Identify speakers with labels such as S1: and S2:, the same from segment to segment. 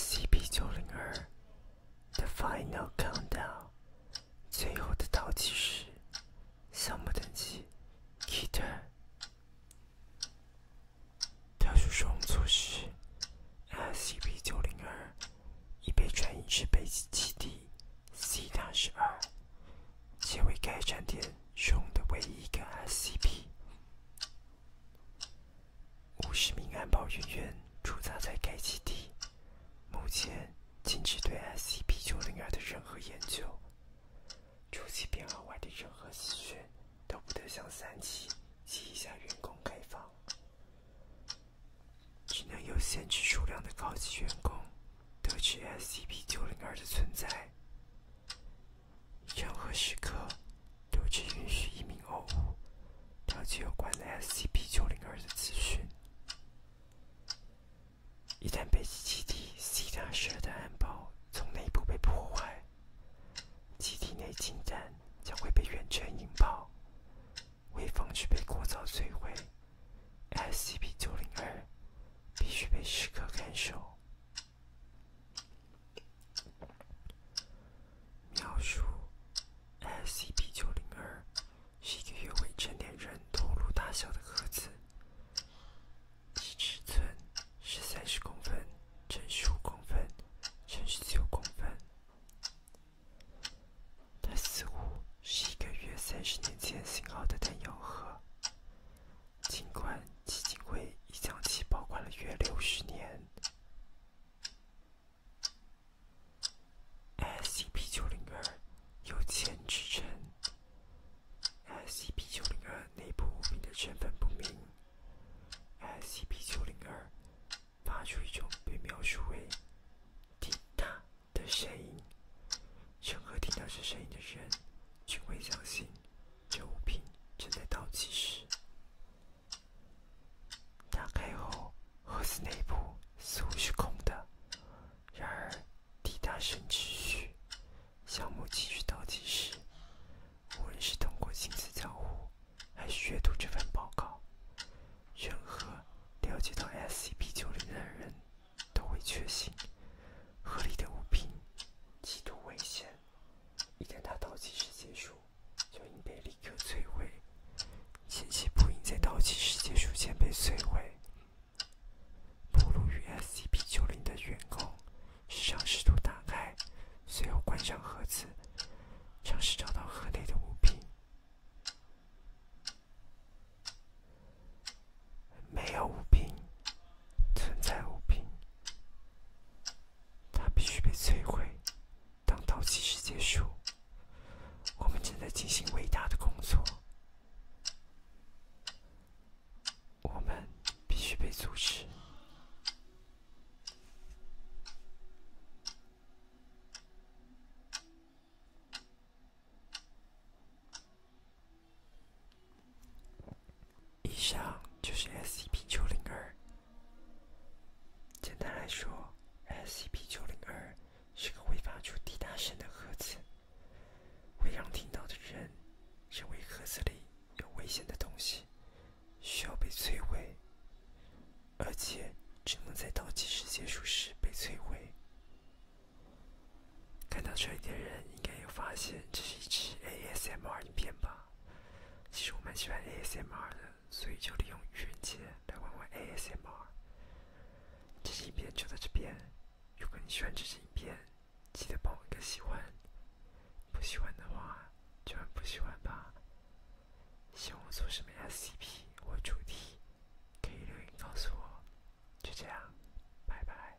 S1: SCP 九零二，The Final Countdown，最后的倒计时，项目等级，Keter。特殊使用措施 s c p 九零二，已被转移至北极基地 c 大十二，且为该站点中的唯一一个 SCP。五十名安保人员驻扎在该基地，目前禁止对 s c p 九零二的任何研究。除其编号外的任何资讯都不得向三期及以下员工开放，只能有限制数量的高级员工得知 SCP-902 的存在。任何时刻，都只允许一名 O5 了解有关的 SCP-902 的资讯。一旦北极基地 C 他设的安保。从内部被破坏，机体内侵占将会被源泉引爆，为防止被过早摧毁，SCP-902 必须被时刻看守。描述：SCP-902 是一个约未成年人头颅大小的盒子。其尺寸是三十公分乘十五公分乘十九公分，它似乎是一个约三十年前型号的弹药盒，尽管基金会已将其保管了约六十年。S C P 九零二，有钱之称。SCP-902 内部物品的身份不明。SCP-902 发出一种被描述为“滴答”的声音，任何听到这声音的人，均会相信这物品正在倒计时。打开后，盒子内部似乎是空的，然而……抵达神持续，项目继续倒计时。无论是通过亲自交互，还是阅读这份报告，任何了解到 SCP-90 的人都会确信，合里的物品极度危险。一旦它倒计时结束，就应被立刻摧毁。信息不应在倒计时结束前被摧毁。暴露于 SCP-90 的员工时常试图打开，随后关上盒子，尝试找到盒内的物品。没有物品，存在物品，它必须被摧毁。当倒计时结束，我们正在进行伟大的工作。我们必须被阻止。以上就是 SCP 九零二。简单来说，SCP 九零二。是个会发出滴答声的盒子，会让听到的人认为盒子里有危险的东西，需要被摧毁，而且只能在倒计时结束时被摧毁。看到这里的人应该有发现这是一支 ASMR 影片吧？其实我蛮喜欢 ASMR 的。所以就利用愚人节来玩玩 ASMR。这期影片就在这边，如果你喜欢这期影片，记得帮我一个喜欢。不喜欢的话，就不喜欢吧。希望我做什么 SCP 或主题，可以留言告诉我。就这样，拜拜。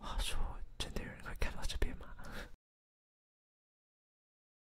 S1: 话说，真的有人会看到这边吗？